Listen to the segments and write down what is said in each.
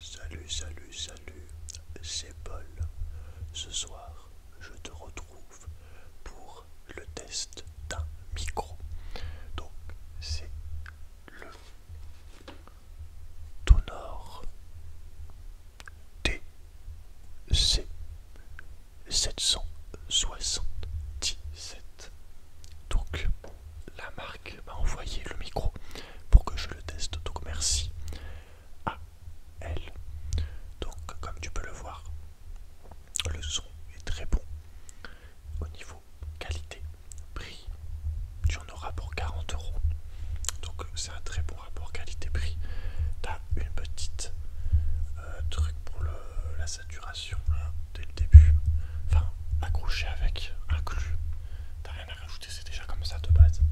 Salut, salut, salut, c'est Paul. Ce soir, je te retrouve pour le test d'un micro. Donc, c'est le Tonor TC 777. Donc, la marque m'a envoyé le micro pour que je le teste, donc merci à elle. Donc comme tu peux le voir, le son est très bon au niveau qualité, prix, tu en auras pour 40 euros. Donc c'est un très bon rapport qualité-prix. T'as une petite euh, truc pour la saturation là, dès le début. Enfin, accroché avec, inclus. T'as rien à rajouter c'est déjà comme ça de base.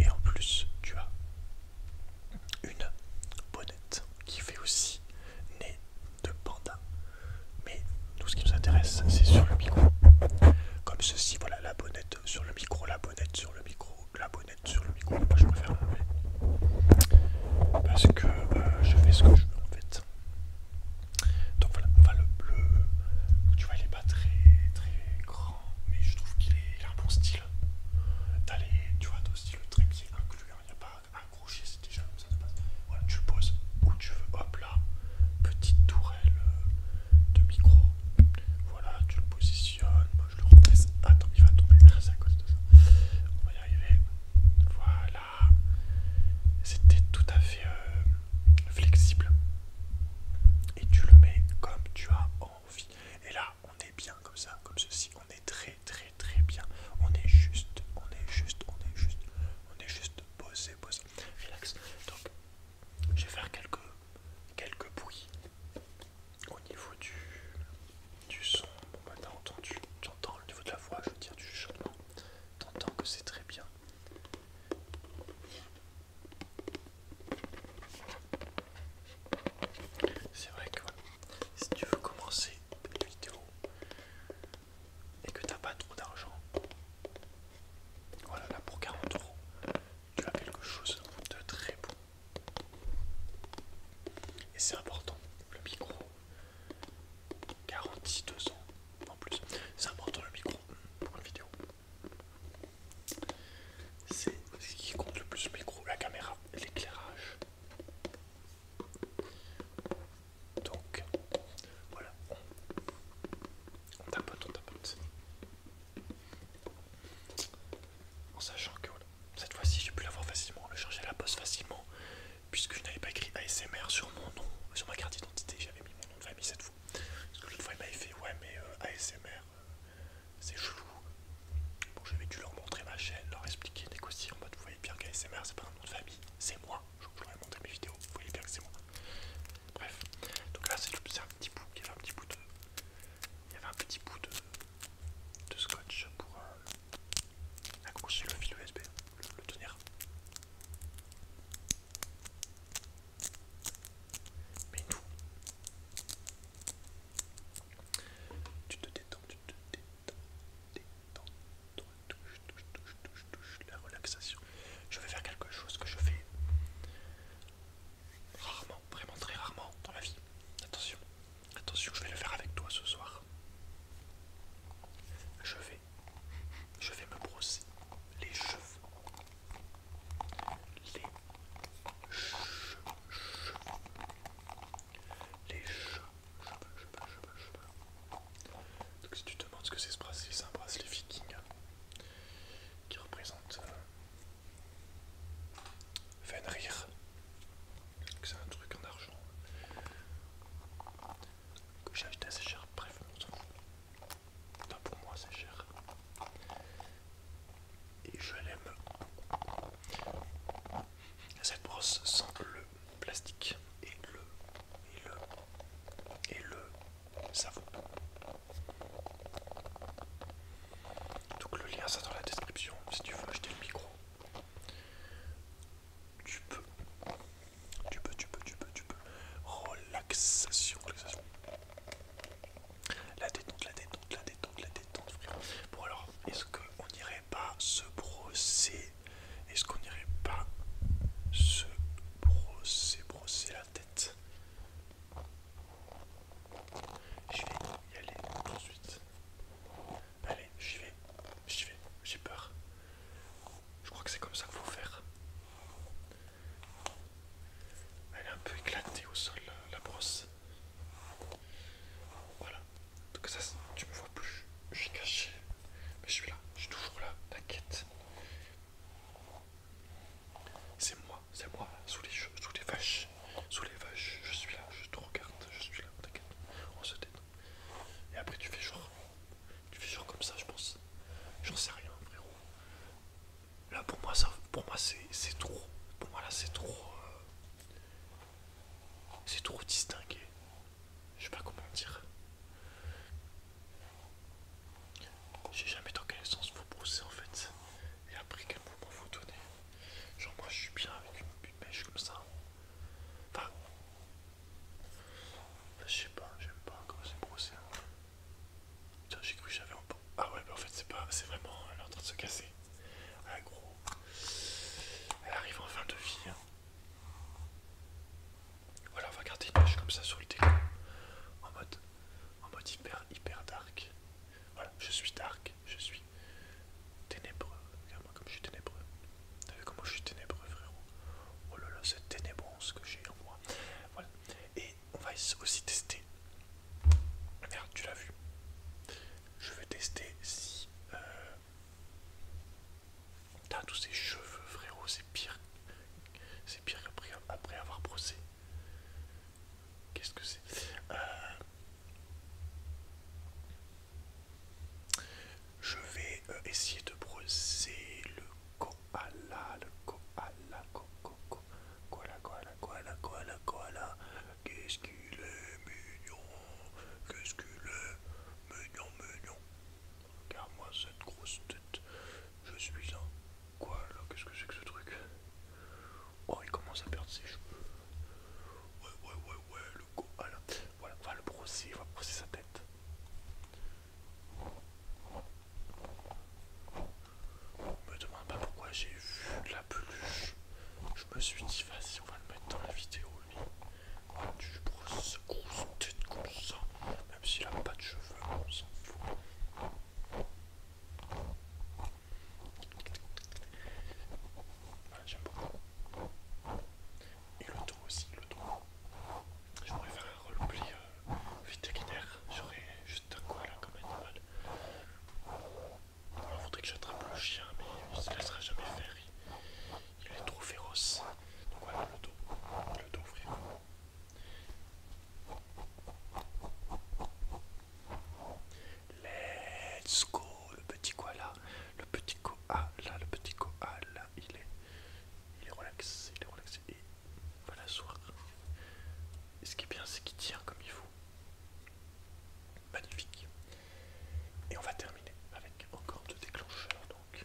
Et en plus, tu as une bonnette qui fait aussi nez de panda. Mais tout ce qui nous intéresse, c'est sur le micro. Comme ceci, voilà la bonnette sur le micro, la bonnette sur le micro, la bonnette sur le micro. je préfère parce que euh, je fais ce que je veux en fait. Donc voilà, on va le bleu, tu vois, il est pas très très grand, mais je trouve qu'il est a un bon style. d'aller tu vois, aussi le trépied inclus, hein. il n'y a pas un c'est déjà comme ça de base. Voilà, tu le poses où tu veux, hop là, petite tourelle euh, de micro. Voilà, tu le positionnes, moi je le redresse. Attends, il va tomber, ah, c'est à cause de ça. On va y arriver. Voilà, c'était tout à fait euh, flexible et tu le mets comme tu as envie et là on est bien comme ça comme ceci on est très très très bien on est juste on est juste on est juste on est juste posé posé relax donc je vais faire quelques quelques bruits au niveau du, du son bon bah t'as entendu j'entends au niveau de la voix je veux dire du chuchotement t'entends que c'est très bien. C'est vrai que si tu veux commencer une vidéo et que t'as pas trop d'argent, voilà là pour 40 euros, tu as quelque chose de très bon. Et c'est important, le micro, garanti en plus. C'est important le micro pour une vidéo. C'est ce qui compte le plus le micro, la caméra, l'éclairage. Donc voilà, on, tapote, on tapote. En sachant que cette fois-ci j'ai pu l'avoir facilement, le charger à la poste facilement puisque je n'avais pas écrit ASMR sur mon nom, sur ma carte d'identité, j'avais mis mon nom de famille cette fois. Parce que l'autre fois il m'avait fait ouais mais euh, ASMR euh, c'est chelou. Bon j'avais dû leur montrer ma chaîne, leur expliquer, négocier en mode vous voyez bien qu'ASMR c'est pas un nom de famille, c'est moi. Je, je leur ai montré mes vidéos, vous voyez bien que c'est moi. Bref, donc là c'est un petit bout, il y avait un petit bout de. Il y avait un petit bout de, de scotch pour euh, accrocher le fil USB le tenir. Mais nous, tu te détends, tu te détends, détends, touche, touche, touche, touche, touche, la relaxation. Je vais faire quelque chose que je fais rarement, vraiment très rarement dans la vie. Attention, Attention, je vais le faire avec toi ce soir. Je vais, je vais me brosser les cheveux. Les cheveux, les cheveux, Donc si tu te demandes ce que c'est ce bracelet, c'est un bracelet viking qui représente euh, c'est un truc en argent que j'ai acheté assez cher, bref, pour moi, c'est cher. Et je l'aime. Cette brosse sent le plastique et le et le et le savon. Donc le lien ça dans la description si tu veux acheter le micro. Tu peux, tu peux, tu peux, tu peux, tu peux. Relaxation, relaxation. La détente, la détente, la détente, la détente, Bon alors, est-ce qu'on n'irait pas se brosser Est-ce qu'on irait pas se brosser, brosser la tête Je vais y aller tout de suite. Allez, j'y vais, j'y vais, j'ai peur. Je crois que c'est comme ça qu'il faut faire. Elle est un peu éclatée au sol, la brosse. Voilà. Donc ça, tu me vois plus. Je suis caché. Mais je suis là. Je suis toujours là. T'inquiète. C'est moi. C'est moi. Sous les, cheveux. vaches. Sous les vaches, je suis là, je te regarde, je suis là, t'inquiète, on se détend. Et après tu fais genre, tu fais genre comme ça, je pense. J'en sais rien, frérot. Là pour moi, ça, pour moi c'est trop, pour moi là c'est trop, euh, c'est trop distingué. Je sais pas comment dire. J'ai jamais dans quel sens vous brousser en fait et après quel mouvement vous donnez. Genre moi je suis bien avec une, petite mèche comme ça. Enfin, je sais pas, j'aime pas comment c'est brossé. Putain hein. j'ai cru que j'avais un peu... Ah ouais, bah en fait c'est pas, c'est vraiment, elle est en train de se casser. Ah gros, elle arrive en fin de vie. Hein. Voilà, on va garder une mèche comme ça sur le déco, en mode, en mode hyper, hyper dark. Voilà, je suis dark, je suis ténébreux. Regarde-moi comme je suis ténébreux. T'as vu comment je suis ténébreux, frérot Oh là là, cette ténébrance que j'ai en moi. Voilà. Et on va aussi tester. Merde, tu l'as vu. Je vais tester si. Euh... T'as tous ces cheveux, frérot, c'est pire. C'est pire après avoir brossé. Qu'est-ce que c'est euh, Je vais euh, essayer de brosser le koala, le koala, ko, ko, ko. koala, koala, koala, koala, koala. Qu'est-ce qu'il est mignon, qu'est-ce qu'il est mignon, mignon. Regarde-moi cette grosse tête, je suis un koala, qu'est-ce que c'est que ce truc Oh, il commence à perdre ses cheveux. Ouais, ouais, ouais, ouais, le go. Voilà, on va le brosser, on va brosser sa tête. On me demande pas pourquoi j'ai vu la peluche. Je me suis dit, vas-y, on va le mettre dans la vidéo, lui. tu brosses grosse tête comme ça. Même s'il a pas de cheveux, on s'en fout j'aime beaucoup. Et le dos aussi, le dos. Je pourrais faire un roleplay euh, vétérinaire. J'aurais juste un là comme animal. Il faudrait que j'attrape le chien, mais il se laissera jamais faire. Il, est trop féroce. Donc voilà le dos. Le dos frérot. Let's go, le petit koala, le petit là le petit koala, il est, il est relaxé, il est relaxé, et voilà, va l'asseoir. Et ce qui est bien, c'est qu'il tient comme il faut. Magnifique. Et on va terminer avec encore deux déclencheurs, donc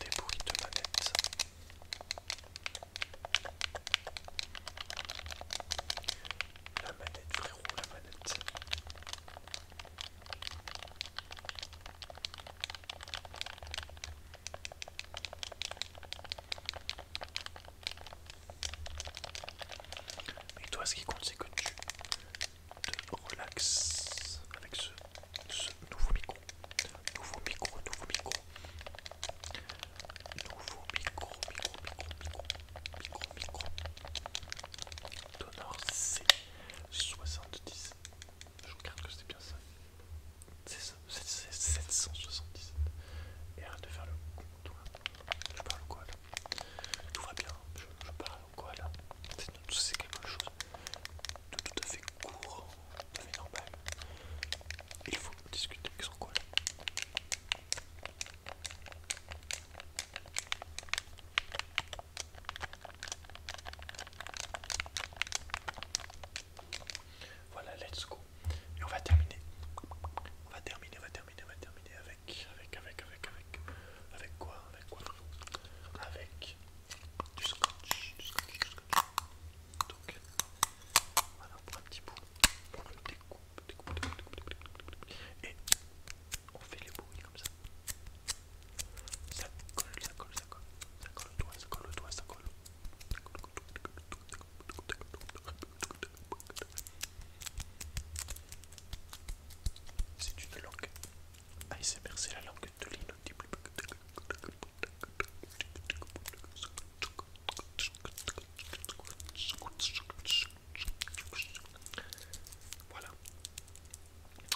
des bruits de manette. La manette, frérot, la manette. Mais toi, ce qui compte, c'est que tu te relaxes avec ce, ce nouveau micro. Nouveau micro, nouveau micro. Nouveau micro, micro, micro, micro, micro, micro. Donor C70. Je regarde que c'était bien ça. C'est ça, c'est 777. Et arrête de faire le con, Je parle quoi là Tout va bien, je, parle quoi là C'est quelque chose de tout à fait court normal. Il faut discuter avec son collègue. Voilà, let's go. Et on va terminer. On va terminer, on va terminer, on va terminer avec, avec, avec, avec, avec, avec quoi, avec quoi Avec du scotch, du scotch, du scotch. Donc voilà, on prend un petit bout, on le découpe, et on fait les bruits comme ça. Ça colle, ça colle, ça colle, ça colle ça colle ça colle. C'est une langue ASMR ah, c'est la langue de l'inaudible. Voilà.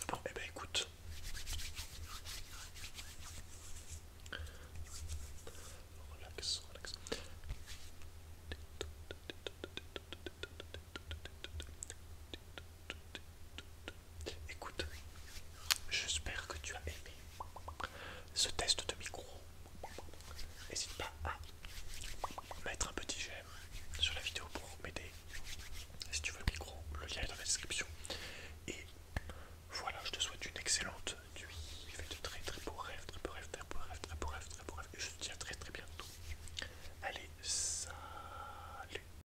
Bon, et eh ben, écoute. Relax, relax. Écoute, j'espère que tu as aimé ce test de micro. N'hésite pas à mettre un petit j'aime sur la vidéo pour m'aider. Si tu veux le micro, le lien est dans la description. Et voilà, je te souhaite une excellente nuit. Il de très très beaux rêves, très beaux rêves, très beaux rêves, très très Et je te dis à très très bientôt. Allez, salut